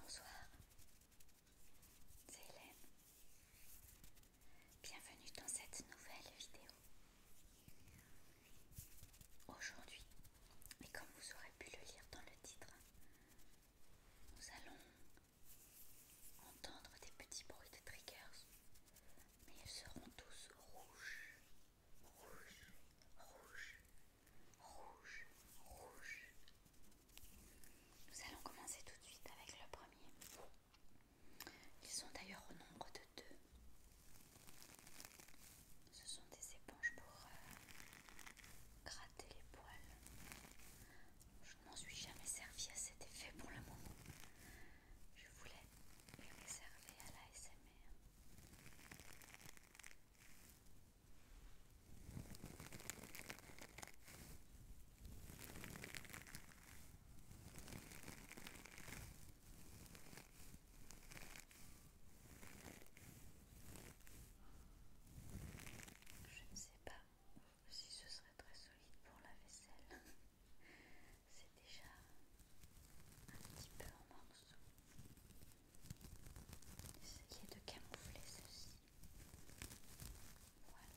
Bonsoir, c'est Hélène. Bienvenue dans cette nouvelle vidéo. Aujourd'hui, et comme vous aurez pu le lire dans le titre, nous allons entendre des petits bruits de triggers, mais ils seront tous rouges, rouges, rouges rouge, rouge. Nous allons commencer tout de suite avec le premier. Ils sont d'ailleurs au nombre de deux. Ce sont des éponges pour euh, gratter les poils. Je ne m'en suis jamais servi à cet effet pour le moment. Je voulais les réserver à la SMR. Je ne sais pas si ce serait très solide pour la vaisselle. C'est déjà un petit peu en morceaux. Essayez de camoufler ceci. Voilà.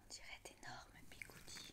On dirait d'énormes bigoudis.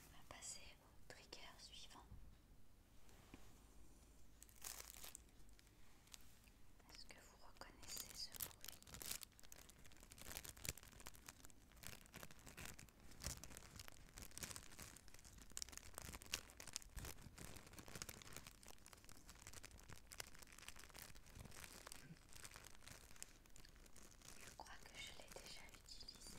On va passer au trigger suivant. Est-ce que vous reconnaissez ce bruit je crois que je l'ai déjà utilisé.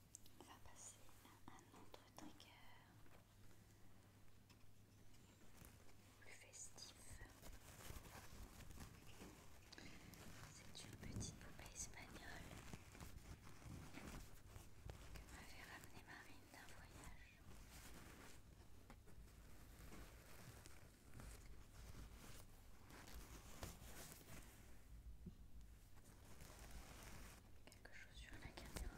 On va passer à un autre trigger plus festif. C'est une petite poupée espagnole que m'avait ramené Marine d'un voyage. Quelque chose sur la caméra.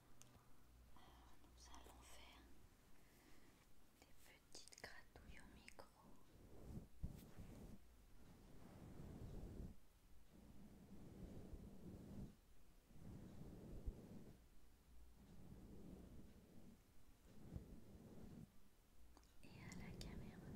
nous allons faire des petites gratouilles au micro. Et à la caméra.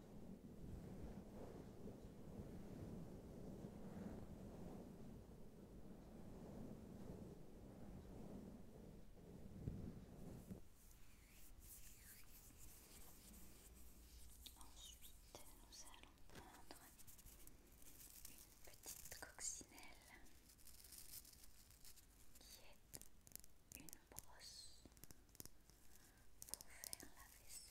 Ensuite, nous allons prendre une petite coccinelle qui est une brosse pour faire la vaisselle.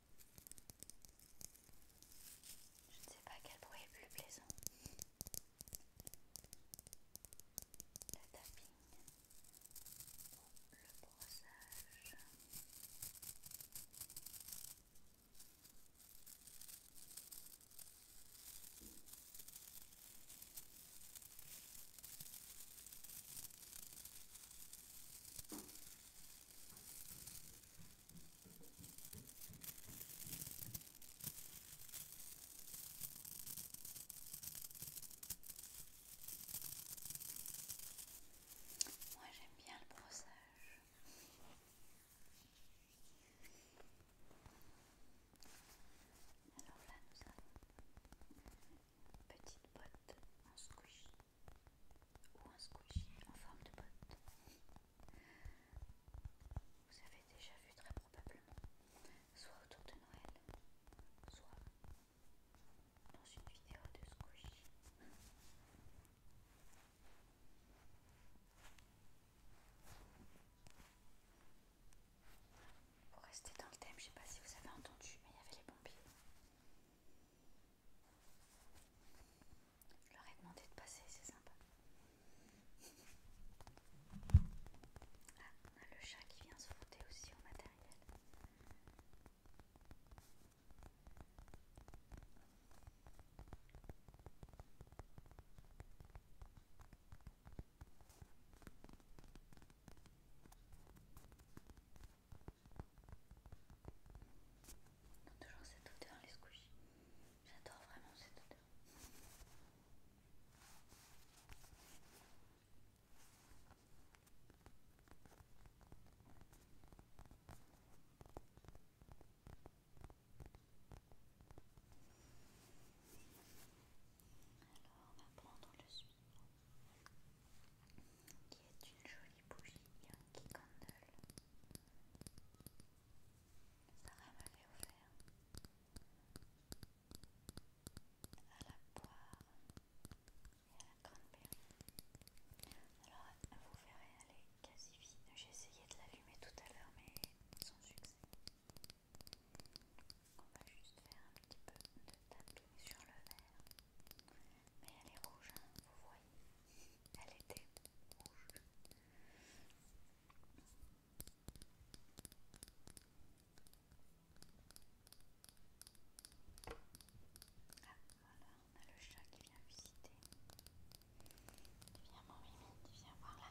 Je ne sais pas quel bruit est plus plaisant. Le tapping ou le brossage. Moi j'aime bien le brossage. Alors là nous avons une petite boîte en squish ou un squishy en forme de botte. Vous avez déjà vu très probablement, soit autour de Noël, soit dans une vidéo de squishy. Pour rester dans le thème, je ne sais pas si vous avez entendu, mais il y avait les pompiers. Je leur ai demandé de passer, c'est sympa. on ah, a le chat qui vient se frotter aussi au matériel. On a toujours cette odeur les squishies. J'adore vraiment cette odeur. Alors on va prendre le sucre qui est une jolie bougie Yankee Candle. Sarah m'avait offert à la poire et à la cranberry. Alors vous verrez, elle est quasi vide. J'ai essayé de l'allumer tout à l'heure, mais sans succès. On va juste faire un petit peu de tatouage sur le vert Mais elle est rouge, hein, vous voyez Elle était rouge. Ah, voilà, on a le chat qui vient visiter. Viens, mon mimi, viens voir là.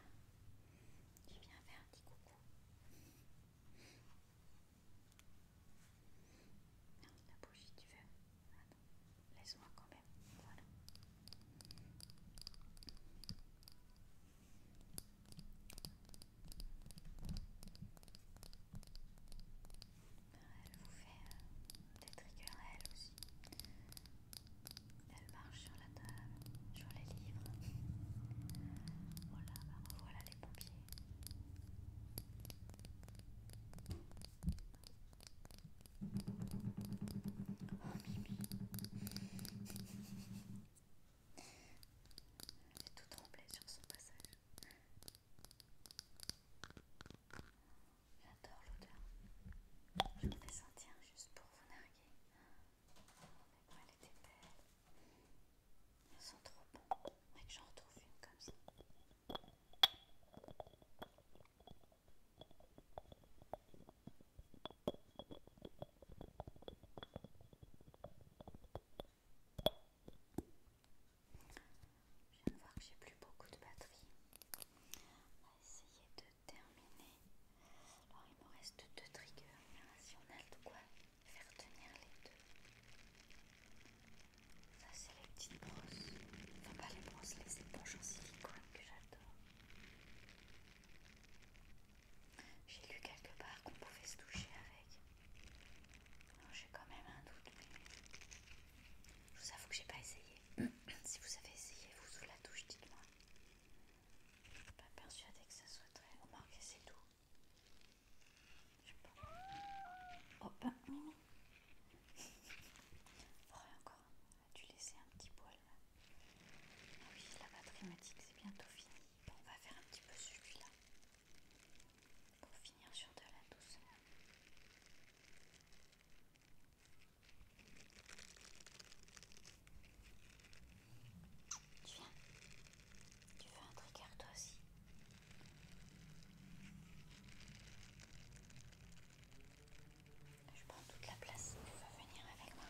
Tu viens faire un petit coucou. Merde, la bougie, tu veux ah laisse-moi quand même. Voilà. Elle vous fait euh, des triggers, elle aussi. Elle marche sur la table, sur les livres. Voilà, bah, voilà les pompiers. Mimi J'ai tout tremblé sur son passage. J'adore l'odeur. Je fais la sentir juste pour vous narguer. Oh, mais elle était belle. Ils sont trop bonnes. faudrait que j'en retrouve une comme ça. Je viens de voir que j'ai plus beaucoup de batterie. On va essayer de terminer. Alors il me reste deux triggers. Si on quoi faire tenir les deux. Ça c'est les petites brosses, enfin pas les brosses, les éponges en silicone que j'adore. J'ai lu quelque part qu'on pouvait se toucher avec. Non, J'ai quand même un doute, mais je vous avoue que j'ai pas essayé. si vous avez essayé, vous sous la touche, dites-moi. Je suis pas persuadée que ça soit très remarqué, c'est tout oh, ben, Mimi. encore. Tu laisser un petit poil ah oui, la batterie c'est bientôt fini. on va faire un petit peu celui-là. Pour finir sur de la douce. Tu viens Tu veux un trigger toi aussi je prends toute la place. Tu veux venir avec moi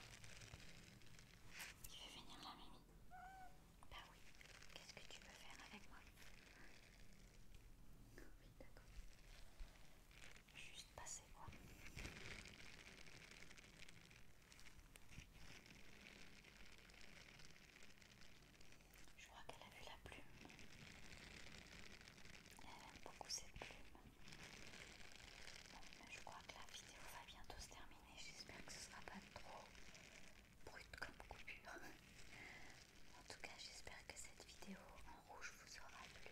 Tu veux venir là, Mimi Bah oui. Qu'est-ce que tu veux faire avec moi ah Oui, d'accord. Juste passer moi je crois qu'elle a vu la plume. Elle aime beaucoup cette plume. je crois que la vidéo va bientôt se terminer. J'espère que ce sera pas trop brut comme coupure. En tout cas, j'espère que cette vidéo en rouge vous aura plu.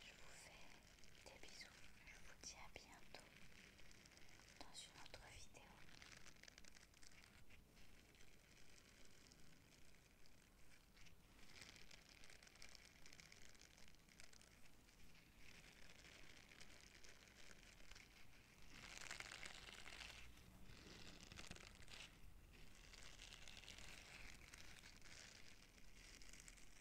Je vous fais des bisous. Je vous dis à bientôt dans une autre vidéo.